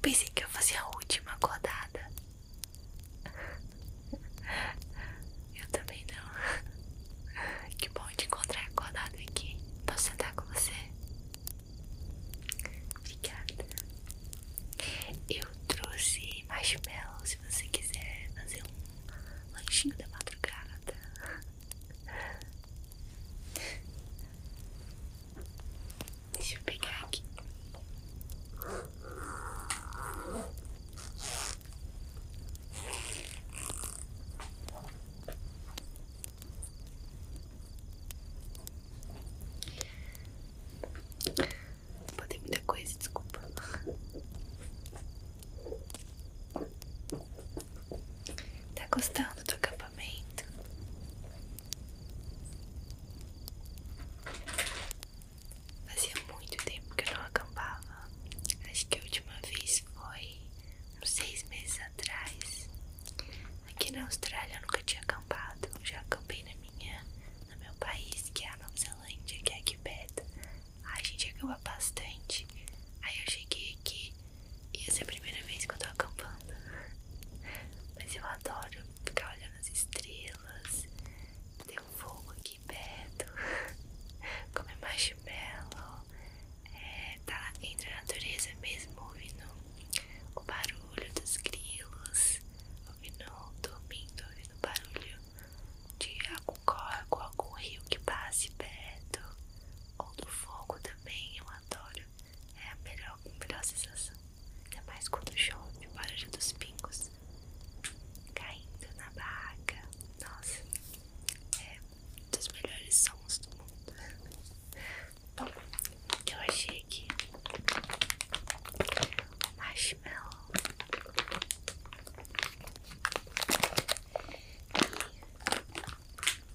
Eu pensei que eu fazia a última acordada. Eu também não. Que bom te encontrar acordado aqui. Posso sentar com você? Obrigada. Eu trouxe marshmallow se você quiser fazer um lanchinho da madrugada. Deixa eu pegar aqui. Pode muita coisa, desculpa. Tá gostando do acampamento? Fazia muito tempo que eu não acampava. Acho que a última vez foi uns seis meses atrás. Aqui na Austrália eu nunca tinha acampado. Eu já acampei na minha, no meu país, que é a Nova Zelândia, que é aqui perto. Ah, a gente acampa bastante. Aí eu cheguei aqui e essa é a primeira vez que eu tô acampando. Mas eu adoro ficar olhando as estrelas. Tem um fogo aqui aqui perto, comer é marshmallow, é, tá entre a natureza mesmo, ouvindo o barulho dos grilos, ouvindo, dormindo, ouvindo o barulho de algum corpo, algum rio que passe perto, ou do fogo também, eu adoro, é a melhor, melhor sensação, ainda mais quando chove, o barulho dos pingos caindo na barraca. Nossa, é dos melhores sons do mundo. Bom, eu achei aqui o marshmallow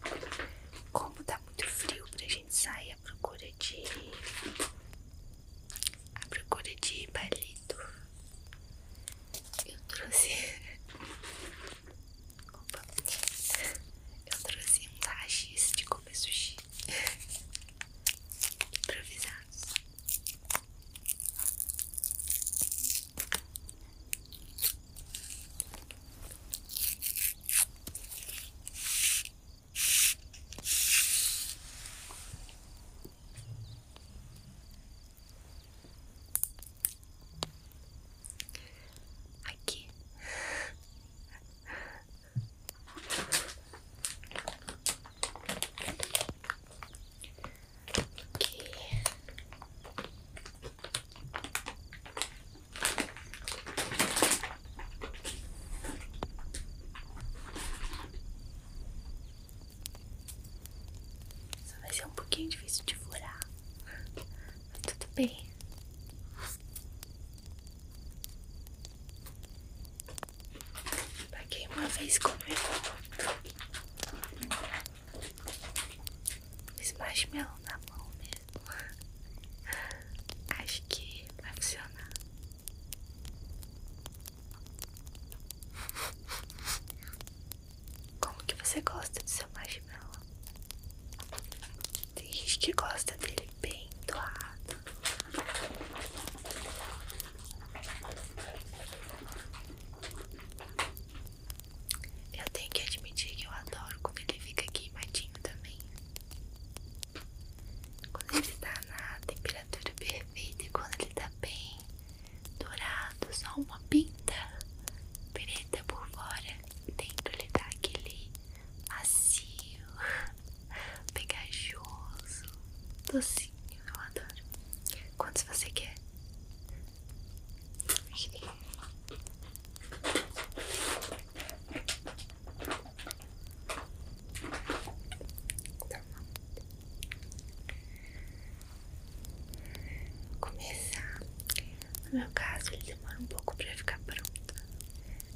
e como tá muito frio pra gente sair à procura de à procura de palito eu trouxe. Opa! Eu trouxe um tachis de comer sushi improvisados. Aqui. Aqui. Só vai ser um pouquinho difícil de furar, mas tudo bem. Paguei uma vez comigo muito. Esse marshmallow na mão mesmo. Acho que vai funcionar. Como que você gosta do seu marshmallow? Tem gente que gosta dele bem doado. Eu tenho que admitir que eu adoro quando ele fica queimadinho também. Quando ele está na temperatura perfeita e quando ele tá bem dourado, só uma pinta preta por fora. dentro lhe dar aquele macio, pegajoso, docinho. Eu adoro. Quantos você quer? Toma. Tá começar. No meu caso, ele demora um pouco pra ficar pronto,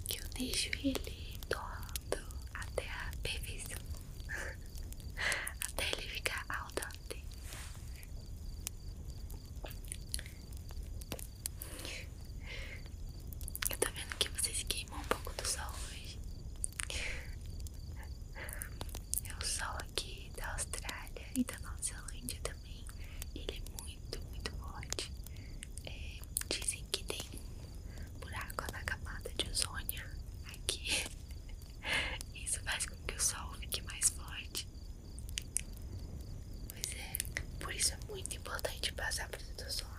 que eu deixo ele todo até a perfeição, até ele ficar al dente. Eu tô vendo que você se queimou um pouco do sol hoje. O sol aqui da Austrália e da Nova Zelândia também, ele é muito, muito forte. É, dizem que tem buraco na camada de ozônio aqui. Isso faz com que o sol fique mais forte. Pois é, por isso é muito importante passar protetor solar.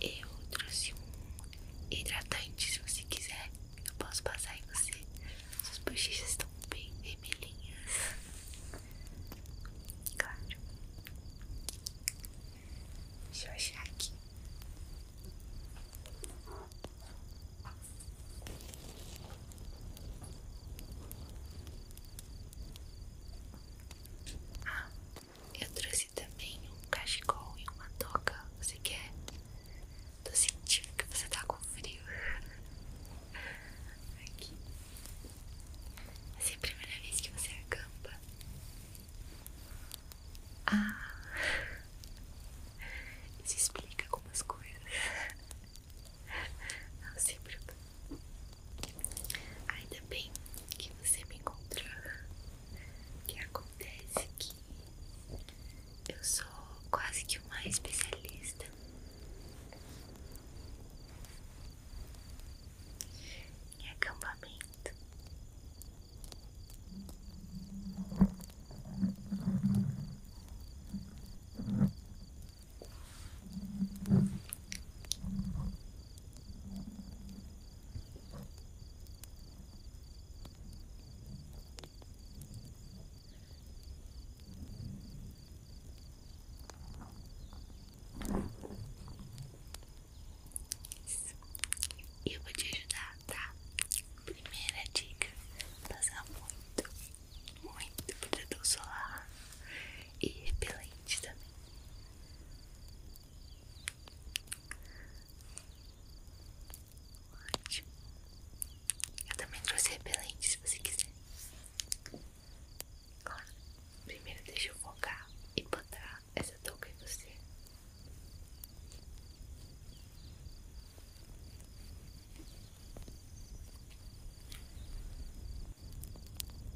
Eu trouxe um hidratante, se você quiser, eu posso passar em você. Suas bochechas estão bem vermelhinhas. Claro. Deixa eu achar aqui. Ah, eu trouxe também um cachecol e uma toca. Você quer? Tô sentindo que você tá com frio. Aqui. Vai é ser a primeira vez que você acampa. Ah. Isso explica algumas coisas. Não sei, preocupe. Ainda bem que você me encontrar. Que acontece que eu sou quase que uma especialista. Em acampamento. Eu vou te ajudar, tá? Primeira dica: passar muito, muito protetor solar e repelente também. Ótimo. Eu também trouxe repelente se você quiser. Agora, primeiro deixa eu focar e botar essa touca em você. Prontinho.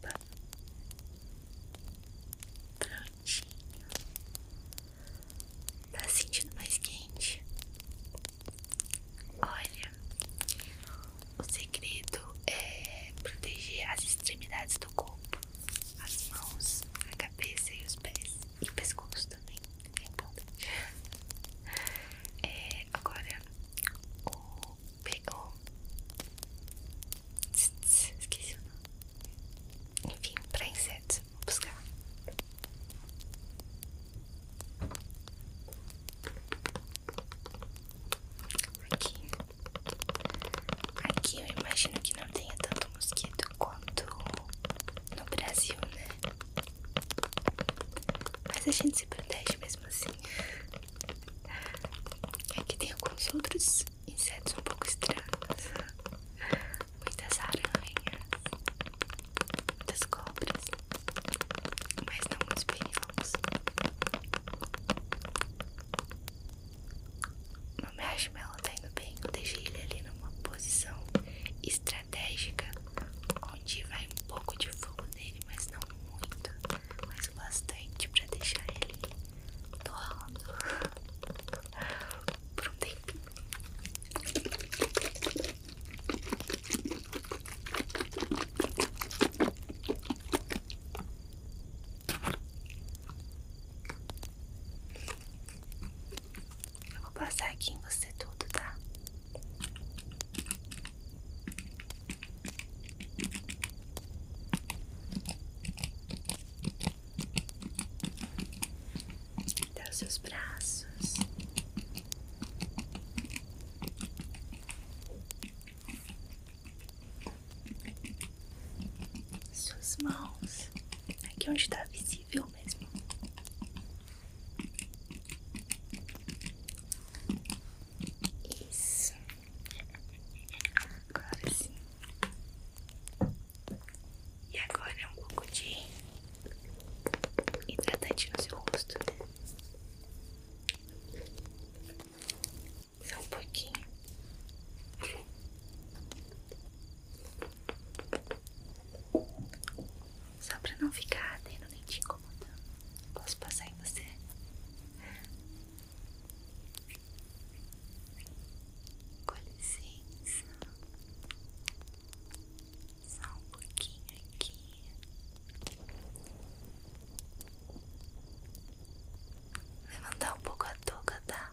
Tá. tá sentindo mais quente? Olha, o segredo é proteger as extremidades do corpo, as mãos, a cabeça e os pés e o pescoço também, é importante. É, agora, o pegou. Esqueci o nome. Enfim, para insetos, vou buscar. Aqui, aqui eu imagino que não tenha tanto mosquito quanto no Brasil, né? Mas a gente se protege mesmo assim. Aqui tem alguns outros insetos um pouco estranhos. Muitas aranhas, muitas cobras, mas não muito perigosos. Meu marshmallow tá indo bem. Eu deixei ele ali numa posição estratégica, onde vai um pouco de fogo nele, mas não muito, mas o bastante pra deixar ele torrando por um tempinho vou passar aqui em você tudo, tá? Até os seus braços. Suas mãos. Aqui onde tá visível mesmo. Isso. Agora sim. E agora é um pouco de hidratante no seu rosto. Só um pouquinho. Só pra não ficar tendo nem te incomodando, posso passar em você? Com licença, só um pouquinho aqui. Levantar um pouco a toga, tá?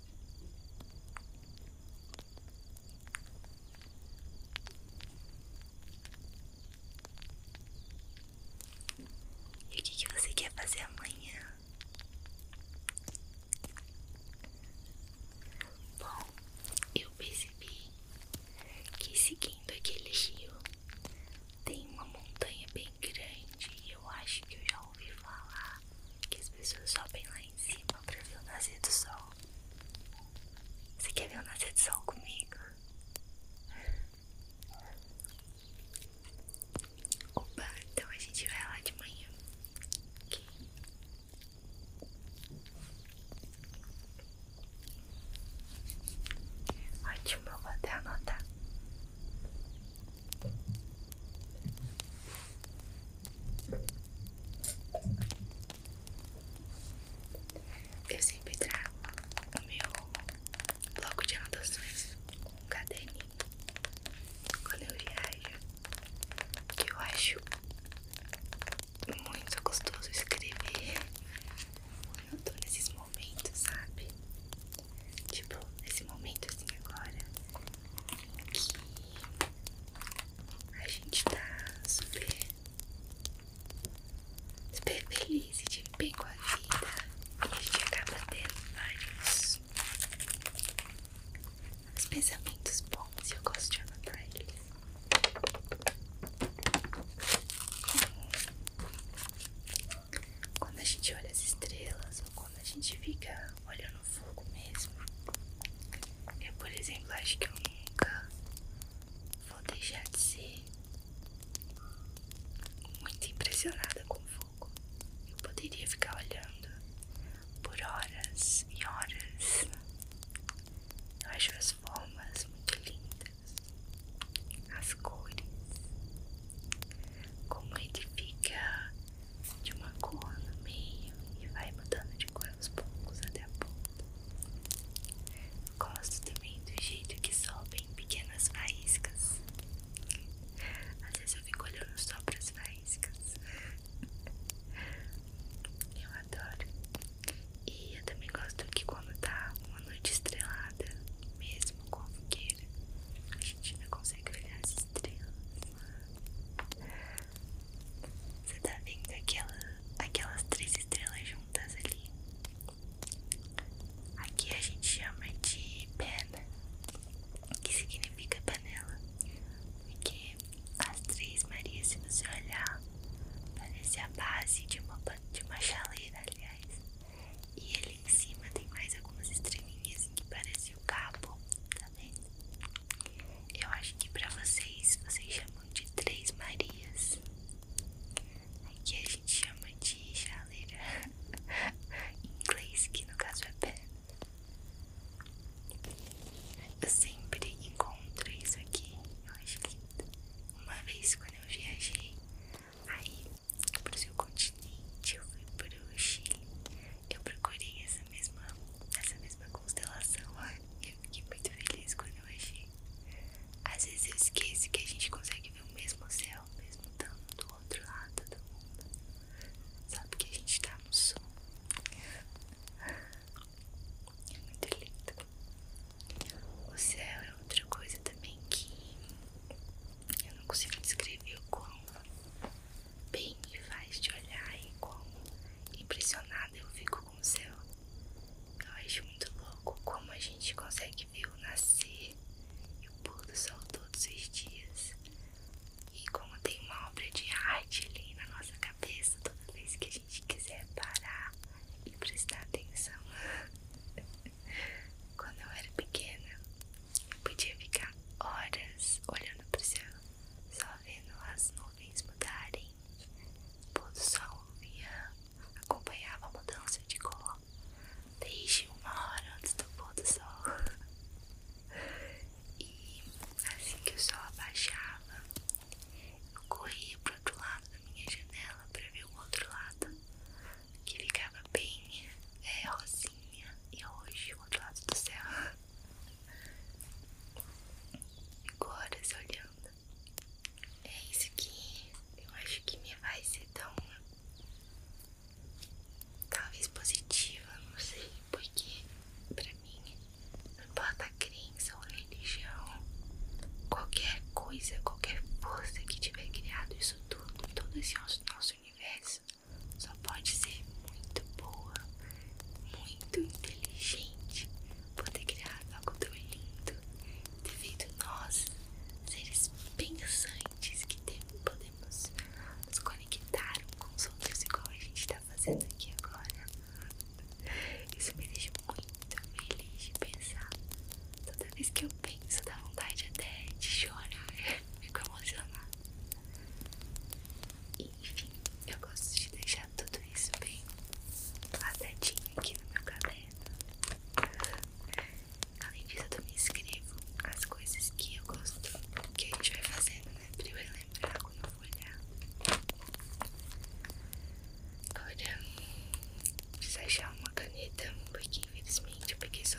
E o que, você quer fazer amanhã? Bom, eu percebi que seguindo aquele rio tem uma montanha bem grande eu acho que eu já ouvi falar que as pessoas sobem lá em cima pra ver o nascer do sol. Você quer ver o nascer do sol comigo? Opa, então a gente vai lá de manhã. Okay. Ótimo, eu vou até anotar. Eu sempre trago o meu bloco de anotações, um caderninho, quando eu viajo, que eu acho muito gostoso escrever quando eu tô nesses momentos, sabe? Tipo, nesse momento assim agora, que a gente tá super, super feliz e de bem com a vida. E a gente acaba tendo vários, vários pensamentos bons e eu gosto de olhar pra eles. Quando a gente olha as estrelas quando a gente fica olhando o fogo mesmo. Eu, por exemplo, acho que eu nunca vou deixar de ser muito impressionada com o fogo. Eu poderia ficar olhando por horas e horas. Eu acho as formas muito lindas, as cores, como ele fica de uma cor no meio e vai mudando de cor aos poucos até a ponta. Gosto também do jeito que sobem pequenas faíscas. Às vezes eu fico olhando só para as faíscas. Eu adoro. E eu também gosto que quando tá uma noite estrelada, mesmo com a fogueira, a gente ainda consegue olhar as assim estrelas. Você tá vendo aquelas três estrelas juntas ali? Aqui a gente chama de pena, que significa panela, porque as três Marias, se você olhar, parecem a base de uma, de uma chaleira, aliás. E ali em cima tem mais algumas estrelinhas que parecem o cabo, tá vendo? Eu acho que pra vocês, vocês chamam de Três Marias. Aqui a gente chama de chaleira em inglês, que no caso é pé. Eu sempre encontro isso aqui, eu acho lindo. Uma vez quando eu viajei, aí para o seu continente, eu fui para o Chile. Eu procurei essa mesma, essa mesma constelação lá e eu fiquei muito feliz quando eu achei. Às vezes eu esqueço que a gente consegue ver o mesmo céu, o mesmo estando do outro lado do mundo. Sabe que a gente está no sul. É muito lindo. O céu é outra coisa também que eu não consigo descrever o quão bem me faz te olhar e como impressionada eu fico com o céu. Eu acho muito louco como a gente consegue ver o nascer e o pôr do sol todos os dias. E como tem uma obra de arte ali na nossa cabeça toda vez que a gente quiser parar e prestar atenção. Quando eu era pequena, eu podia ficar horas olhando para o céu, só vendo as nuvens mudarem. O pôr do sol vinha, acompanhava a mudança de cor desde uma hora antes do pôr do sol. E assim que o sol abaixava, eu corria pro outro lado da minha janela para ver o outro lado que ficava bem é, rosinha e roxo outro lado do céu. agora horas olhando. É isso que eu acho que me vai ser tão. talvez positiva, não sei, porque pra mim não importa a crença ou a religião, qualquer coisa, qualquer força que tiver criado isso tudo, todo esse nosso universo só pode ser muito boa, muito inteligente, poder criar algo tão lindo, ter feito nós, seres pensantes que podemos nos conectar com os outros, igual a gente está fazendo aqui agora. Isso me deixa muito feliz de pensar. Toda vez que eu isso dá vontade até de chorar, fico emocionada. enfim, eu gosto de deixar tudo isso bem passadinho aqui no meu caderno. Além disso, eu também escrevo as coisas que eu gosto, que a gente vai fazendo, né? Pra eu lembrar quando eu for olhar. olha preciso achar uma caneta, porque infelizmente eu peguei só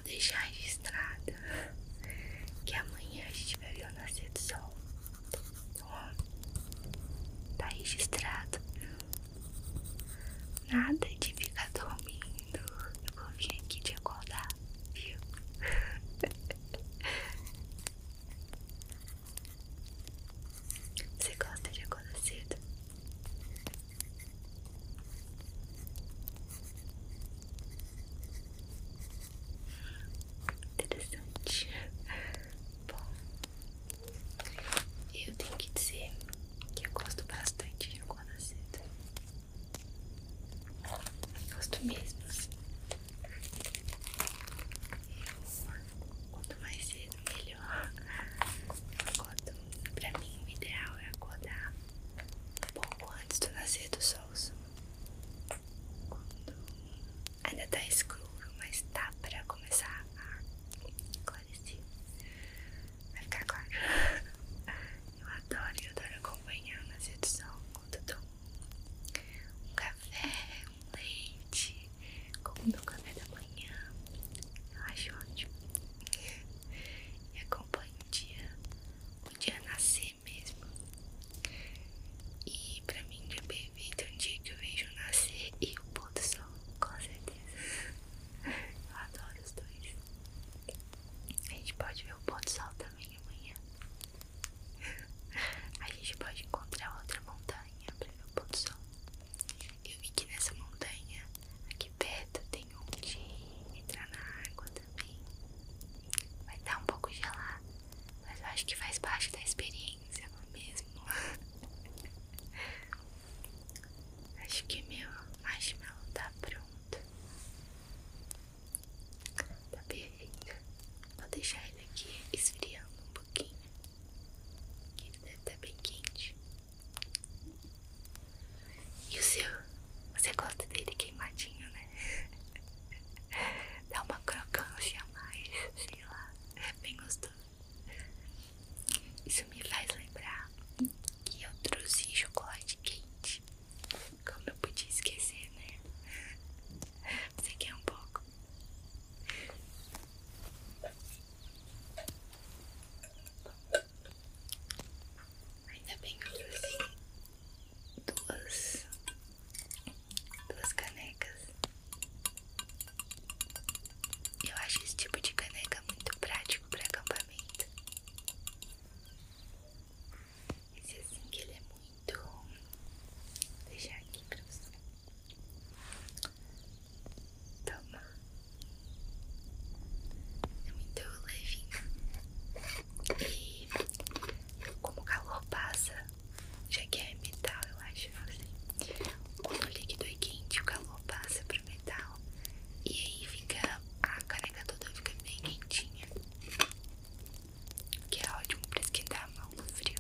só deixar registrado que amanhã a gente vai ver o nascer do sol. Ó, tá registrado. Nada de ficar dormindo. Eu vou vir aqui te acordar, viu? Você gosta de acordar cedo? Interessante. Bom, eu tenho que dizer que eu gosto bastante de acordar Cedo. gosto mesmo. Assim. Eu, quanto mais cedo, melhor. Eu pra mim, o ideal é acordar um pouco antes do nascer do sol. Assim quando ainda tá escuro, mas tá pra começar a clarecer vai ficar claro. Eu adoro, eu adoro acompanhar na sedução quando eu tomo um café, um leite, como no café da manhã, eu acho ótimo. E acompanho o dia, o dia nascer mesmo. E pra mim é um dia que eu vejo nascer e o pôr do sol, com certeza. Eu adoro os dois. A gente pode ver o pôr do sol também amanhã. A gente pode encontrar outra montanha pra ver o pôr do sol. Eu vi que nessa montanha, aqui perto, tem um de entrar na água também. Vai estar tá um pouco gelado, mas eu acho que faz parte da experiência, não é mesmo? acho que meu marshmallow tá pronto. Tá perfeito. Vou deixar ele aqui esfriando um pouquinho. Que ele deve estar tá bem quente. E o seu? Você gosta dele queimadinho, né? Dá uma crocância a mais, sei lá. É bem gostoso. Isso me faz lembrar que eu trouxe chocolate quente. Como eu podia esquecer, né? Você quer um pouco? Ainda bem que eu trouxe duas, duas canecas. Eu acho esse tipo de caneca muito prático para acampamento. Esse é assim que ele é muito. Vou deixar aqui pra você. Toma é muito levinho. E como o calor passa, já que é metal, eu acho assim, quando o líquido é quente, o calor passa pro metal e aí fica a caneca toda fica bem quentinha. Que é ótimo pra esquentar a mão no frio.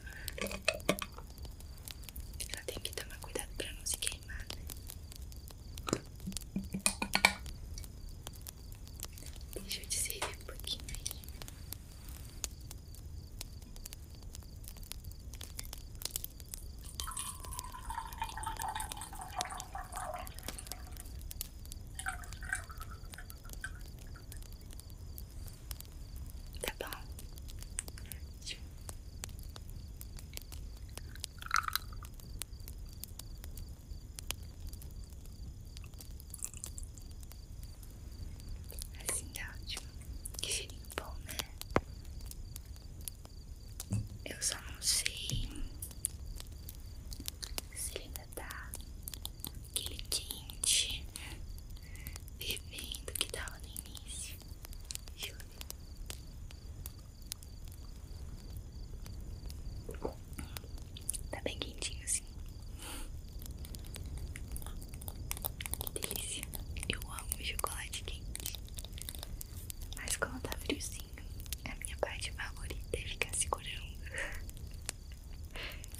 ela tem que tomar cuidado para não se queimar, né? Deixa eu te servir um pouquinho aí. Tá bom. Assim tá ótimo. Que cheirinho bom, né? Eu só não sei se ainda tá aquele tinte vivendo que tava no início. Juro. Tá bem quentinho assim. Que delícia. Eu amo chocolate quente. Mas quando tá friozinho, é a minha parte favorita é ficar segurando.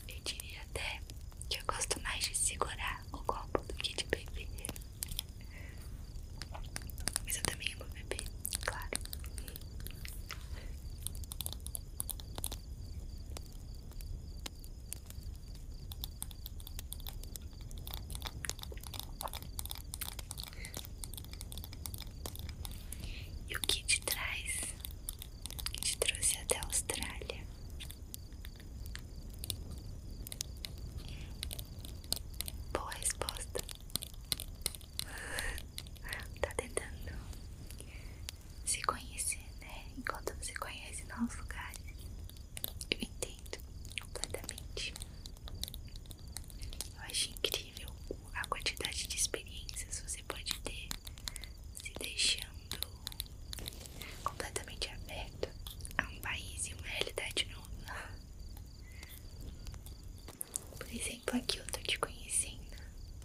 Eu diria até que eu gosto mais de segurar o copo do que de beber. Isso eu também vou é beber, né, claro. E o que te traz? te trouxe até a Austrália? Boa resposta tá tentando se conhecer, né? Enquanto você conhece novos lugares. Eu entendo completamente. Eu acho incrível a quantidade de experiências você pode ter se deixando completamente aberto a um país e uma realidade nova. Por exemplo, aqui eu tô te conhecendo.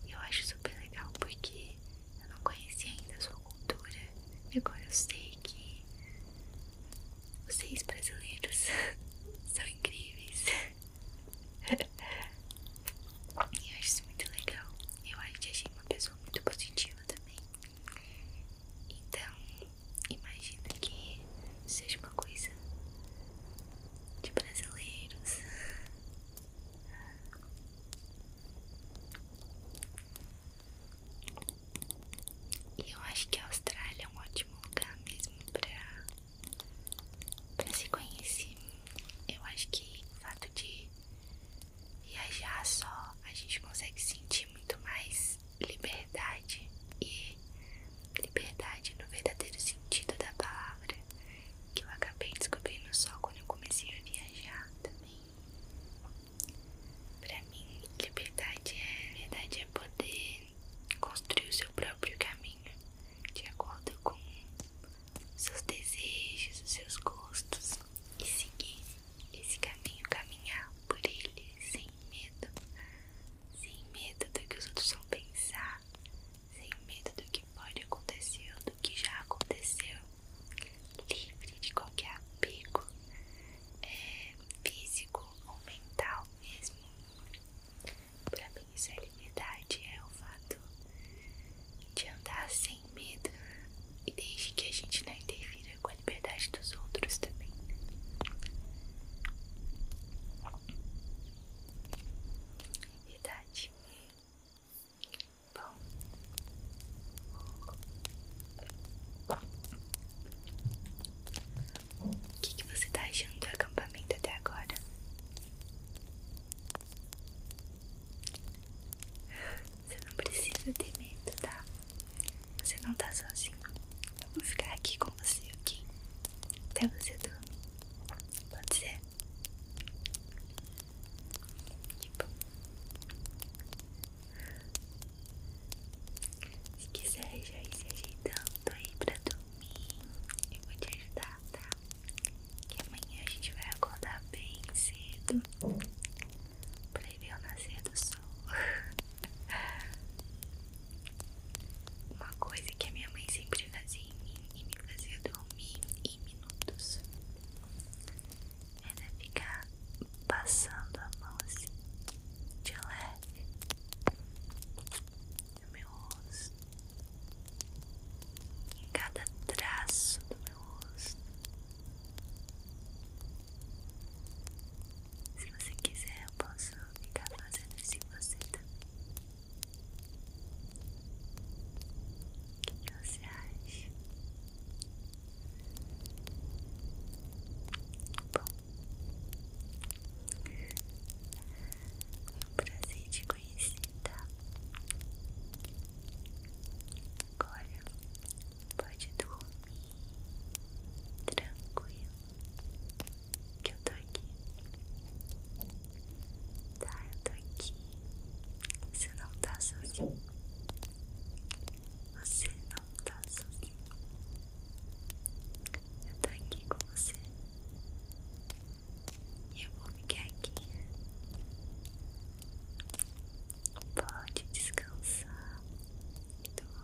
e Eu acho super legal porque eu não conhecia ainda a sua cultura. E agora eu sei que vocês brasileiros são incríveis. E eu acho isso muito legal. Eu acho que achei uma pessoa muito positiva também. Então, imagina que seja uma coisa de brasileiros. E eu acho que a Austrália é um ótimo lugar mesmo pra, pra se conhecer. Eu acho que o fato de viajar só, a gente consegue sentir muito mais liberdade e Liberdade no verdadeiro sentido da palavra, que eu acabei descobrindo só quando eu comecei a viajar também. Pra mim, liberdade é, liberdade é poder construir o seu próprio caminho, de acordo com seus desejos, os seus gostos, e seguir esse caminho, caminhar por ele sem medo sem medo do que os outros vão pensar, sem medo do que pode acontecer do que já aconteceu, livre de qualquer apego é, físico ou mental mesmo. Para mim, isso é liberdade, é o fato de andar sem medo e desde que a gente não interfira com a liberdade os outros também. Idade. Bom. O que, você está achando do acampamento até agora? Você não precisa ter medo, tá? Você não tá sozinho. Eu vou ficar aqui com você, ok? Até você dormir. Pode ser? Se quiser já ir se ajeitando aí pra dormir, eu vou te ajudar, tá? Que amanhã a gente vai acordar bem cedo pra ir ver o nascer do sol. Uma coisa que a minha mãe sempre fazia em mim e me fazia dormir em minutos era ficar passando a mão assim de leve no meu rosto, em cada traço do meu rosto. Se você quiser, eu posso vou ficar fazendo isso em você também. O que você acha? Bom, foi um prazer te conhecer, tá? Agora pode dormir. Tranquilo, que eu tô aqui. Tá, eu tô aqui. Você não tá sozinho. Você não tá sozinho. Eu tô aqui com você. E eu vou ficar aqui. Pode descansar e dormir.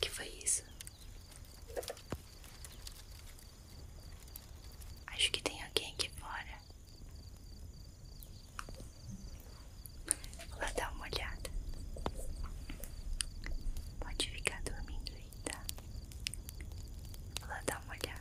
que foi isso? Acho que tem alguém aqui fora. Vou lá dar uma olhada. Pode ficar dormindo aí, tá? Vou dar uma olhada.